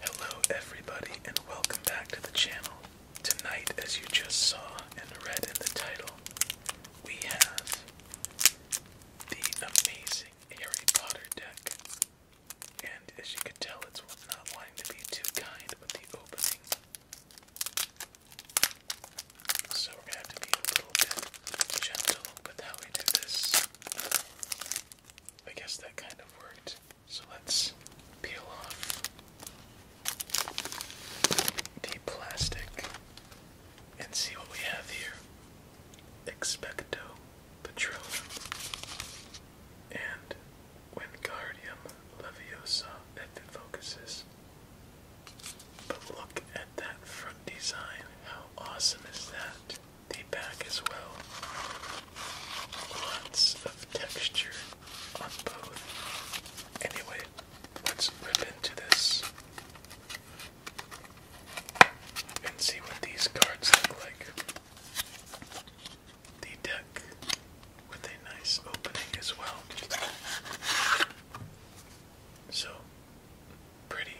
Hello, everybody, and welcome back to the channel. Tonight, as you just saw and read in the title, we have the amazing Harry Potter deck. And as you can tell, it's not wanting to be too kind with the opening. So we're going to have to be a little gentle with how we do this. I guess that kind of worked. So let's peel off the plastic and see what we have here. Expecto petrol and when Wingardium Leviosa if it focuses. But look at that front design. How awesome is that? the back as well. Lots of texture on both. Anyway, let's rip into this and see what these cards look like. The deck with a nice opening as well. So pretty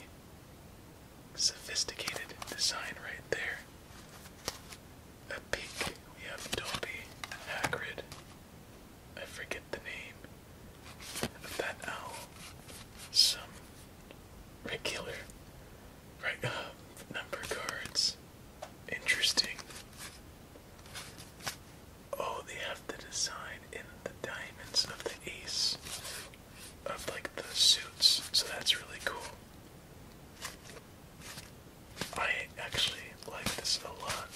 sophisticated design right there. A peek. We have Dolby Hagrid. I forget the name of that owl. Some regular right uh, number cards. Interesting. Oh, they have the design in the diamonds of the ace of like the suits, so that's really cool. I actually like this a lot.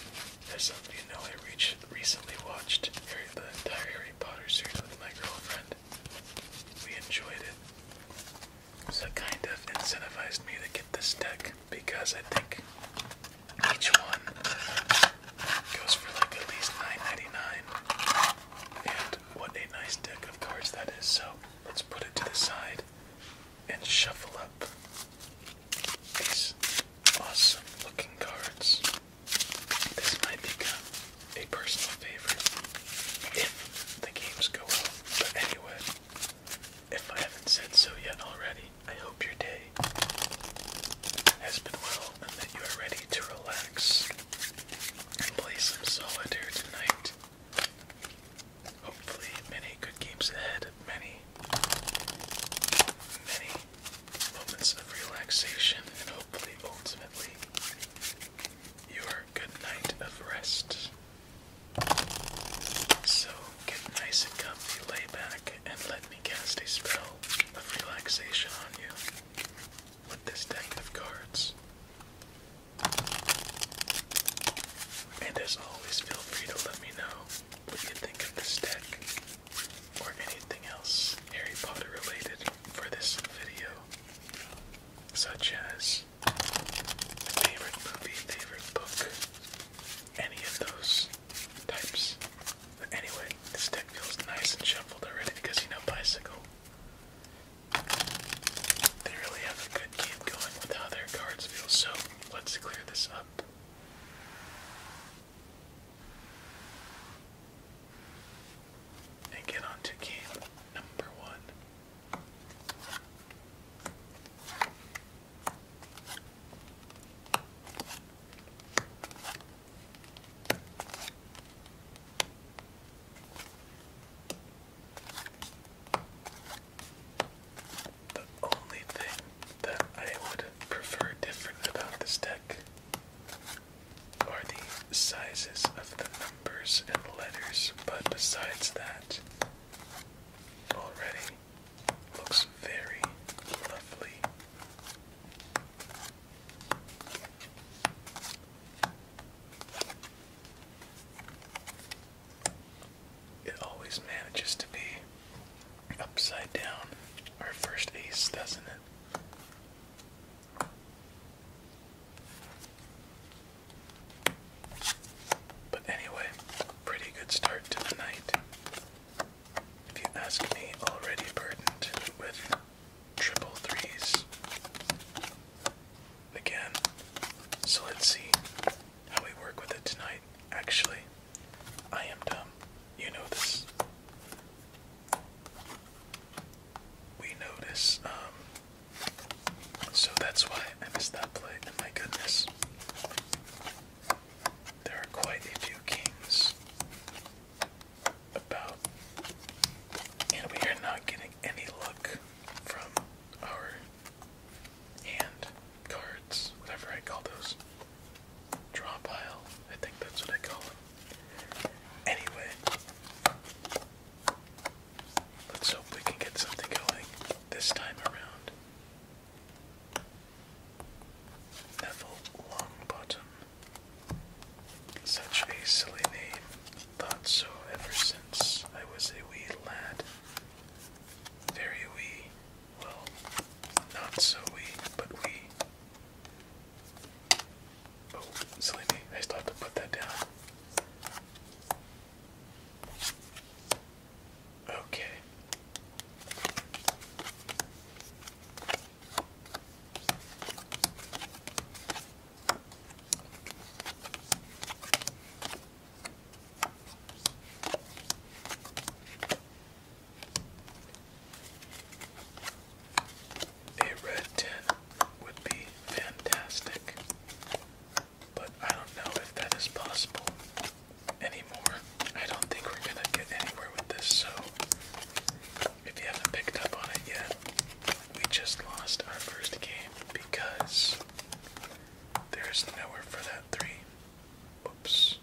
As some of you know, I reach, recently watched Harry, the entire Harry Potter series with my girlfriend. We enjoyed it. So kind of incentivized me to get this deck because I think each one goes for like at least nine ninety nine. And what a nice deck of cards that is. So let's put it to the side and shuffle up these awesome looking cards. This might become a personal favorite if the games go well. But anyway, if I haven't said so yet already, I hope your day has been well and that you are ready to relax and play some solitaire tonight. Hopefully, many good games ahead, many, many moments of relaxation, and hopefully, ultimately, your good night of rest. So, get nice and comfy, lay back, and let me cast a spell of relaxation on you with this deck of cards. And as always, feel free to let me know what you think of this deck or anything else Harry Potter related for this video, such as favorite movie, favorite book, any of those types. But anyway, this deck feels nice and shuffled already because you know bicycle they really have a good game going with how their cards feel, so let's clear this up. And get on to number one. The only thing that I would prefer different about this deck are the sizes of the numbers and letters, but besides that, already looks very lovely. It always manages to be upside down, our first ace, doesn't it? But anyway, pretty good start to the night. If you ask me, already burdened with triple threes again. So let's see how we work with it tonight. Actually, I am dumb. You know this. We know Um, so that's why I missed that play. And my goodness, there are quite a few kings about, and we are not getting any luck from our hand cards, whatever I call those. Draw pile, I think that's what I call them. Anyway, let's hope we can get something going this time around. Neville Longbottom. Such a silly name. Thought so ever since I was a wee lad. Very wee. Well, not so wee, but wee. Oh, silly me. I still to put that down. Okay. A red tin would be fantastic, but I don't know if that is possible anymore. I don't think we're gonna get anywhere with this, so if you haven't picked up on it yet, we just lost our first game because there's nowhere for that three. Whoops.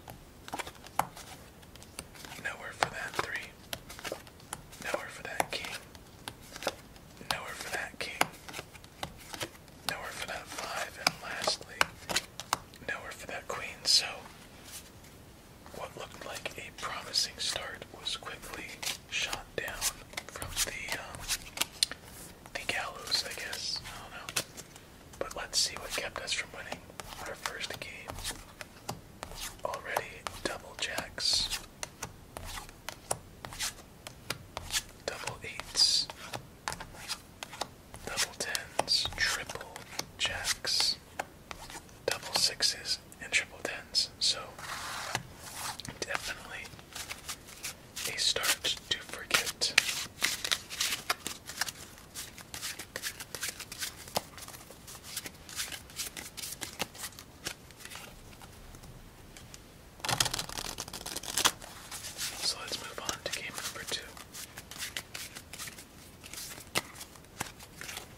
Nowhere for that three. Nowhere for that king. Nowhere for that king. Nowhere for that five. And lastly, nowhere for that queen. So what looked like a promising start was quickly shot down from the um, the gallows, I guess. I don't know. But let's see what kept us from winning our first game. Already double jacks, double eights, double tens, triple jacks, double sixes, and triple tens. So definitely a start to forget. So let's move on to game number two.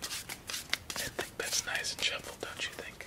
I think that's nice and shuffled, don't you think?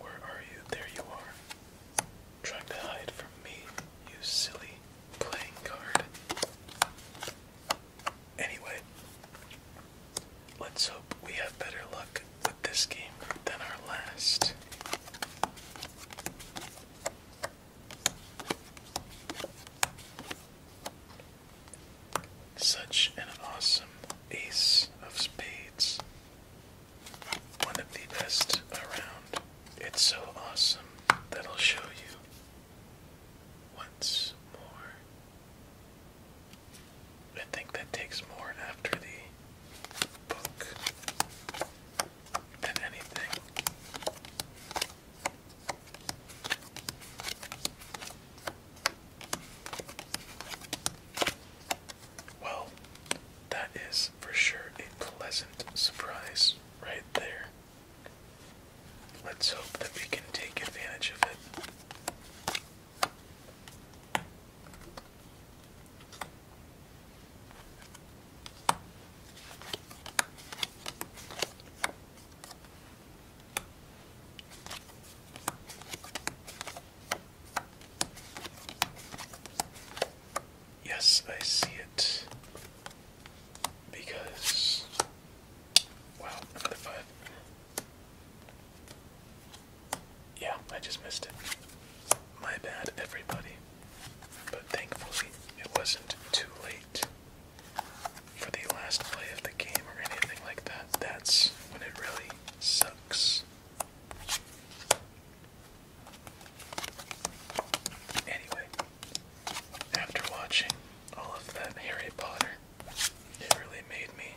Where are you? There you are. Trying to hide from me, you silly playing card. Anyway, let's hope we have better luck with this game than our last. Such an awesome ace of spades one of the best around. It's so awesome that I'll show you once more. I think that takes more after the book than anything. Well, that is for sure a pleasant surprise right there. Let's hope that we can take advantage of it. Yes, I see it. Because. Wow, another five. Yeah, I just missed it. My bad, everybody. But thankfully, it wasn't too late for the last play of the game or anything like that. That's when it really sucks. Anyway, after watching all of that Harry Potter, it really made me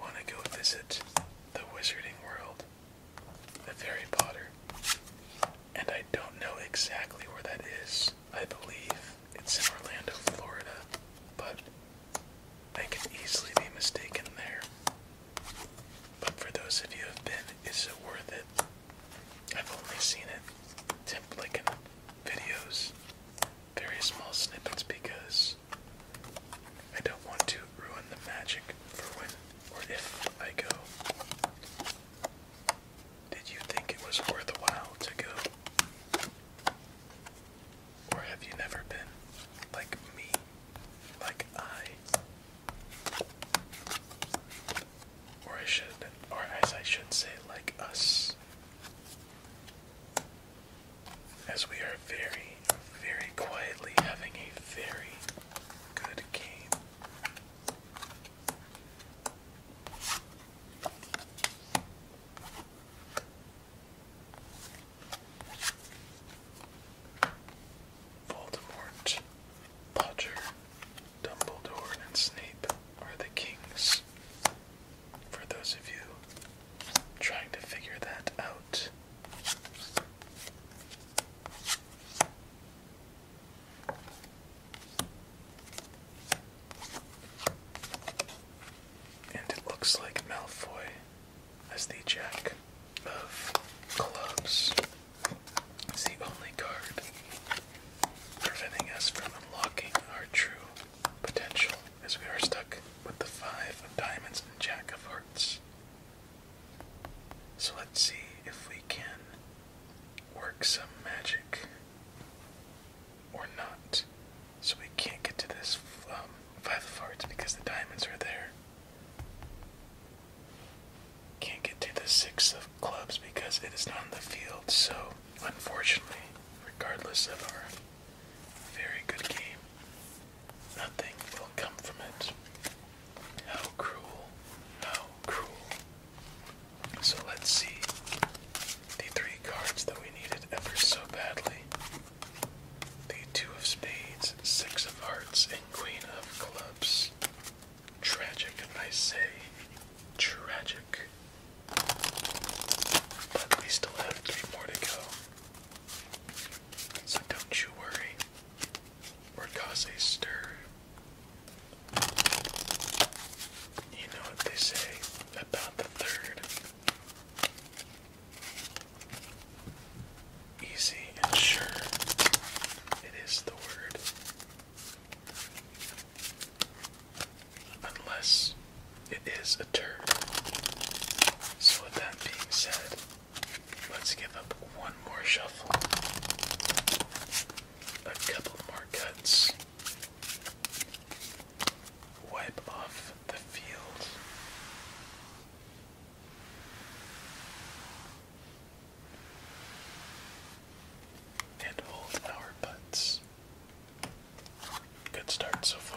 want to go visit the wizarding world of Harry Potter. And I don't know exactly where that is. I believe it's in Orlando, Florida, but they can easily be mistaken there. But for those of you who have been, is it worth it? I've only seen it tipped like in videos, very small snippets because I don't want to ruin the magic for when or if I go. Did you think it was worthwhile to go? Or have you never been like me? Like I? Or I should, or as I should say, like us. As we are very, very quietly having a very good game. Voldemort, Potter, Dumbledore, and Snape are the kings. For those of you trying to figure that out. And it looks like Malfoy as the Jack of clubs is the only card preventing us from unlocking our true potential, as we are stuck with the five of diamonds and jack of hearts. So let's see if we can work some magic or not. So we can't get to this um, five of hearts because the diamonds are there. Can't get to the six of clubs because it is not in the field, so unfortunately, regardless of our very good game, nothing will come from it. How cruel, how cruel. So let's see the three cards that we needed ever so badly the two of spades, six of hearts, and queen of clubs. Tragic, I say. Tragic. But we still have three more to go. So don't you worry or cause a stir. You know what they say about the third. Easy and sure. It is the word. Unless it is a turd. So, with that being said, let's give up one more shuffle, a couple more cuts, wipe off the field and hold our butts. Good start so far.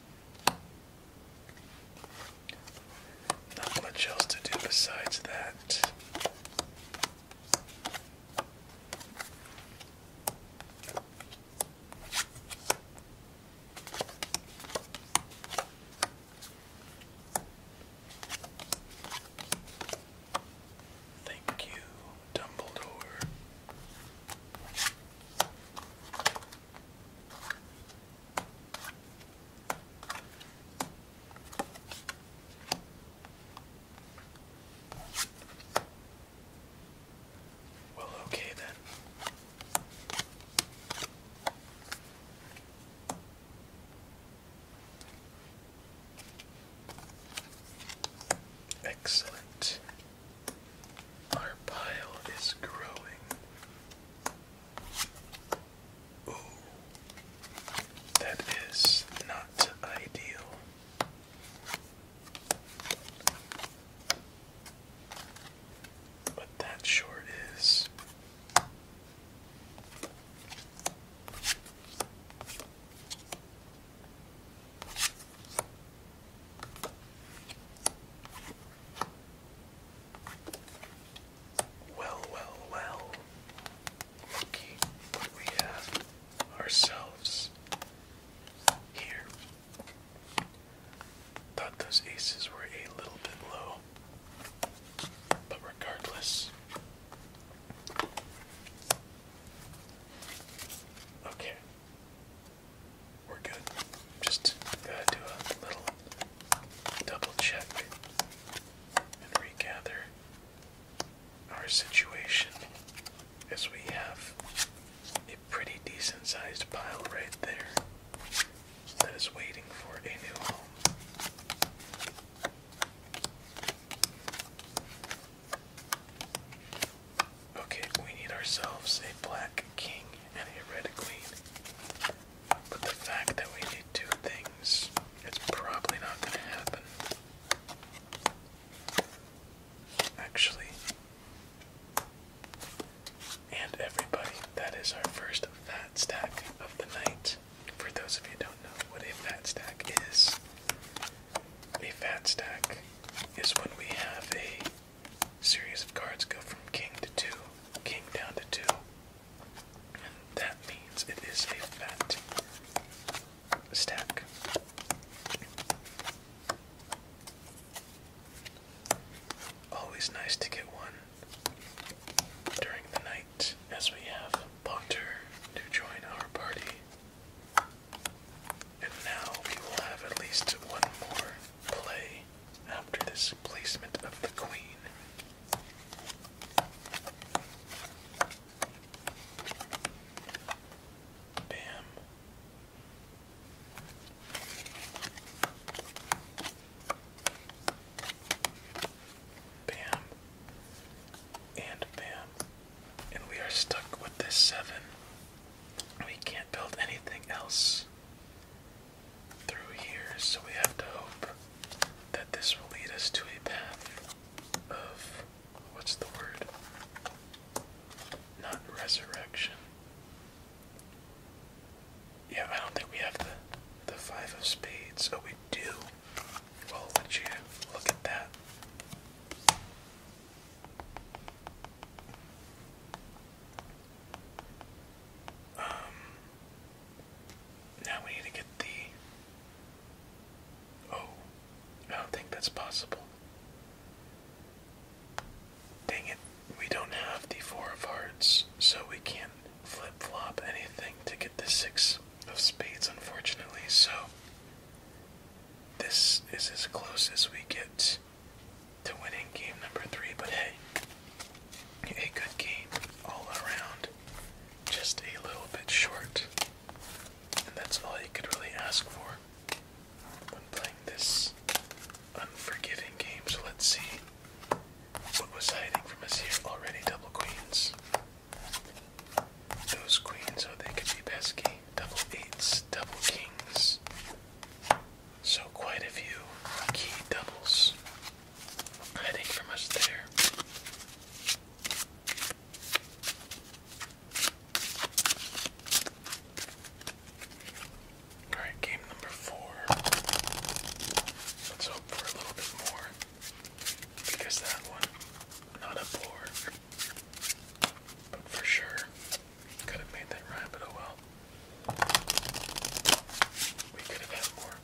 Not much else to do besides that. Thank you, Dumbledore. Well, okay then. Excellent. Our pile is growing. Ooh, that is not ideal. But that sure is. Well, well, well. Lucky what we have ourselves here. Thought those aces were a little bit low, but regardless. Okay. We're good. Just gotta do a little double check and regather our situation as we have a pretty decent sized pile right there that is waiting for a new home. Okay, we need ourselves a black king and a But the fact that we need two things, it's probably not going to happen. Actually, and everybody, that is our first fat stack of the night. For those of you who don't know what a fat stack is, a fat stack is when we have a series of cards go from king to two, king down to two. And that means it is a fat stack. Always nice to get one during the night as we have Potter to join our party. And now we will have at least one more play after this placement of the queen. Bam. Bam. And bam. And we are stuck with this seven. We can't build anything else through here, so we have to hope that this will lead us to a path of what's the word? Not resurrection. Yeah, I don't think we have the the five of spades. so oh, we do. Well, I'll let you look at that. Um, now we need to get the. Oh, I don't think that's possible. Dang it, we don't have the four of hearts, so we can't flip flop anything to get the six of spades, unfortunately. So, this is as close as we get to winning game number three, but hey, a good game all around, just a little bit short, and that's all you could really ask for when playing this unforgiving game. So let's see what was hiding from us here already. Double queens. Those queens, oh, they could be pesky. Double eights, double kings. So, quite a few key doubles hiding from us there. Alright, game number four. Let's hope for a little bit more because that one, not a four, but for sure, could have made that rhyme, but oh well. We could have had more.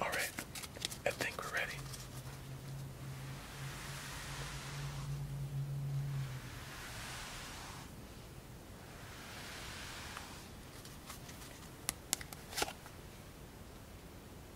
All right, I think we're ready.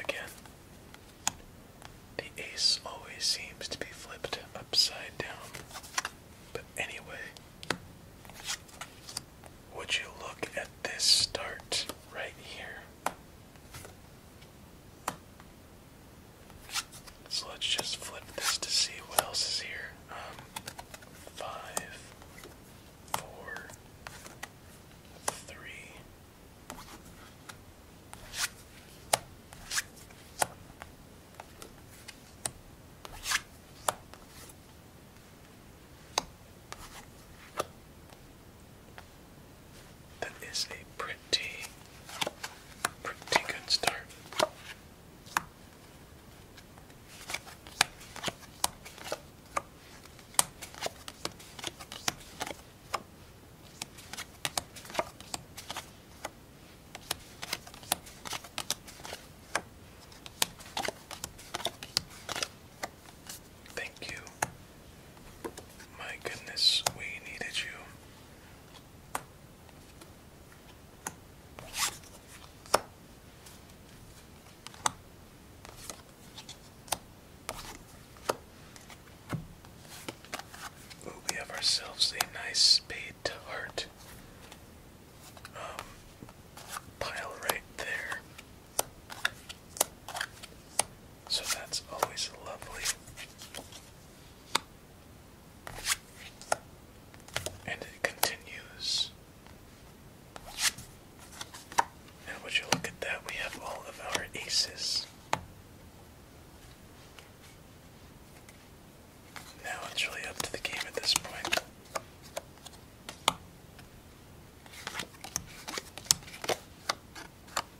Again, the ace always seems to be flipped upside down. But anyway, would you look at this start right here? So let's just flip this to see what else is here. Um, five, four, three. That is a pretty, pretty good start. Thank you my goodness, we needed you. we have ourselves a nice spade to heart um, pile right there. So that's always lovely. And it continues. Now, would you look at that? We have all of our aces. Now it's really up to the game at this point.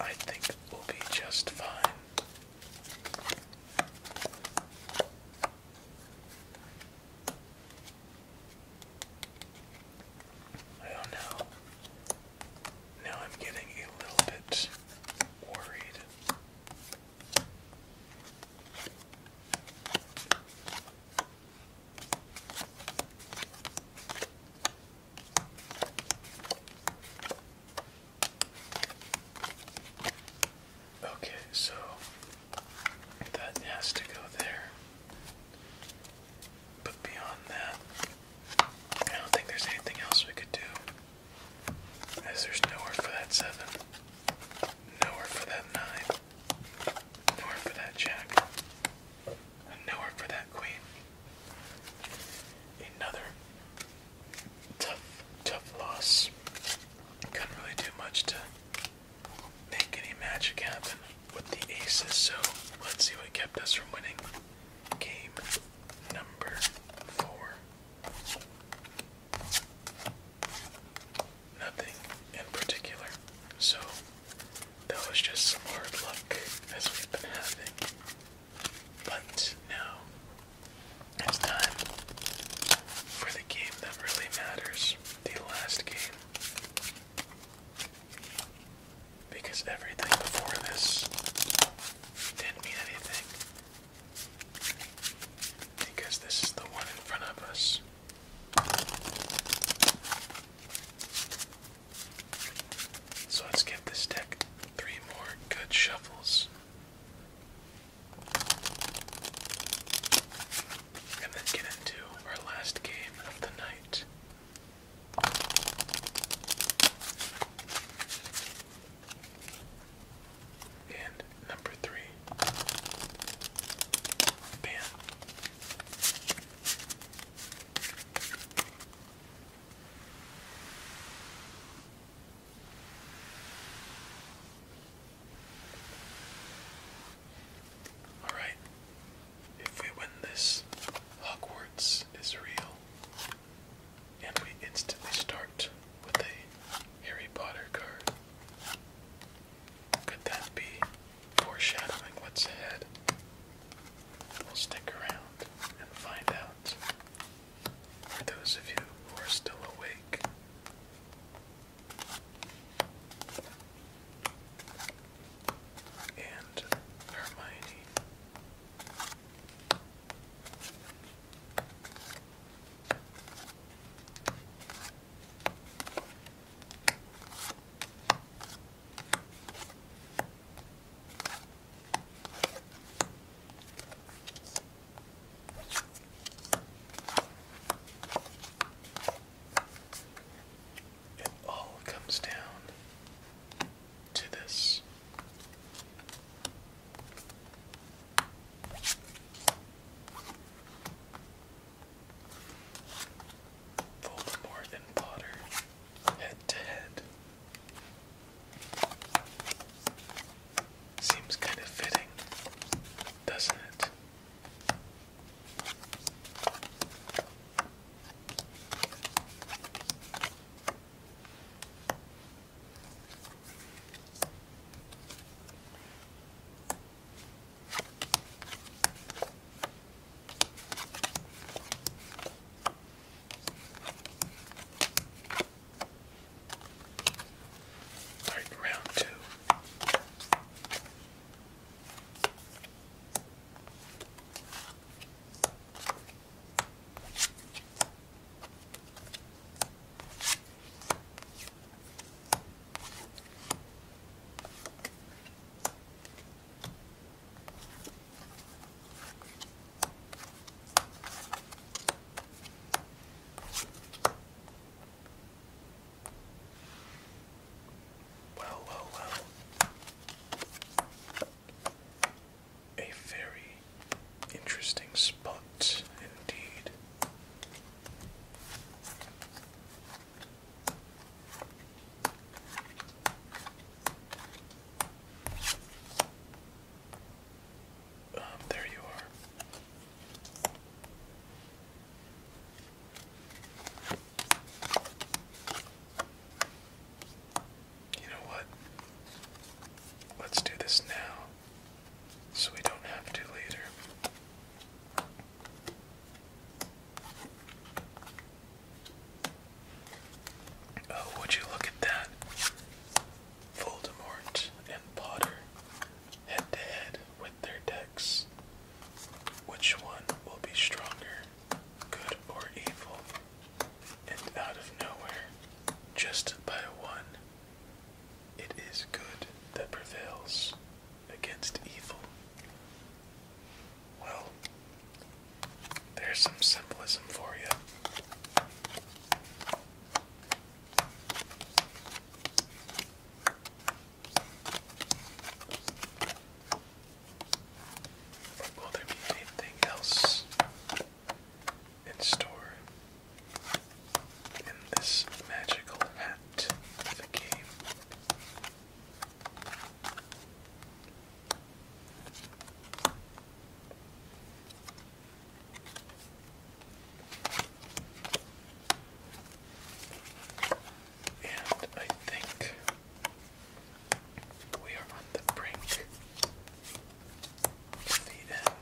I think we'll be just fine. I don't know. Now I'm getting a little bit worried. Okay, so that has to go there. But beyond that, I don't think there's anything else we could do. As there's nowhere for that seven, nowhere for that nine, nowhere for that jack, and nowhere for that queen. Another tough, tough loss. Couldn't really do much to make any magic happen with the aces, so let's see what kept us from winning game number four. Nothing in particular, so that was just some hard luck as we've been having. But now it's time for the game that really matters the last game. Because everything before this didn't mean anything. Because this is the one in front of us. So let's give this deck three more good shuffles. And then get into our last game of the night. And number three, pan. All right. If we win this, Hogwarts is real. And we instantly start with the Harry Potter card. Could that be foreshadowing what's ahead? We'll stick around and find out. For those of you who are still awake, and Hermione it all comes down to this. Voldemort and Potter head to head. Seems kind of fitting, doesn't it? All right, round two. Well, well, well. A very interesting spot indeed. Um, there you are. You know what? Let's do this now so we don't have to later. Oh, would you look at that? Voldemort and Potter head to head with their decks. Which one will be stronger, good or evil? And out of nowhere, just by one, it is good that prevails against evil. Well, there's some symbolism for you. will there be anything else? In store in this magical hat the game. And I think we are on the brink the end.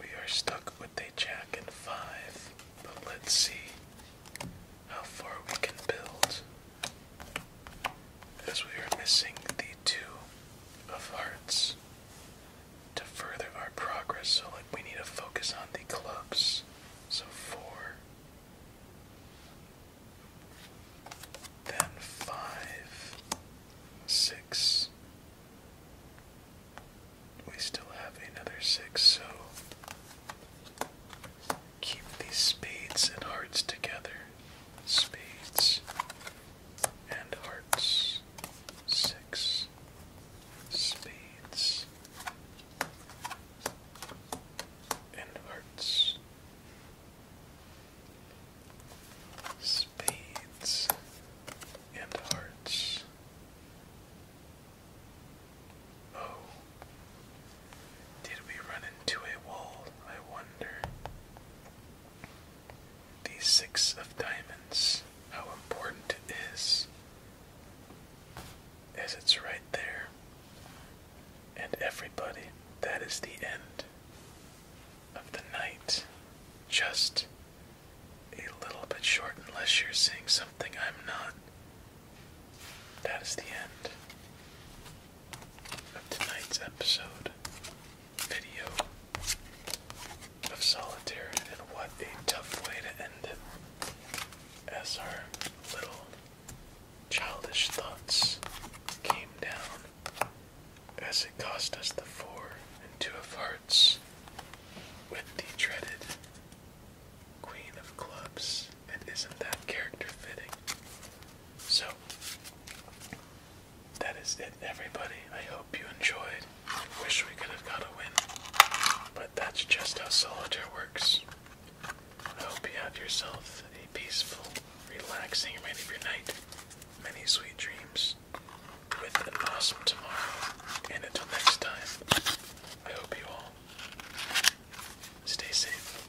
We are stuck with a jack and five, but let's see how far we can build. As we are missing the two of hearts to further our progress, so we need to focus on the clubs. So four, then five, six. We still have another six, so keep these spades and hearts together. Spades and hearts. Six. Spades and hearts. Spades and hearts. Oh, did we run into a wall, I wonder? The six of diamonds, how important it is, as it's right there. And everybody, that is the end of the night. Just a little bit short, unless you're seeing something I'm not. That is the end of tonight's episode video of solitaire and what a tough way to end it as our little childish thoughts came down as it cost us the four and two of hearts with the dreaded queen of clubs Yes, isn't that character fitting? So, that is it, everybody. I hope you enjoyed. Wish we could have got a win, but that's just how solitaire works. I hope you have yourself a peaceful, relaxing remainder of your night, many sweet dreams, with an awesome tomorrow. And until next time, I hope you all stay safe.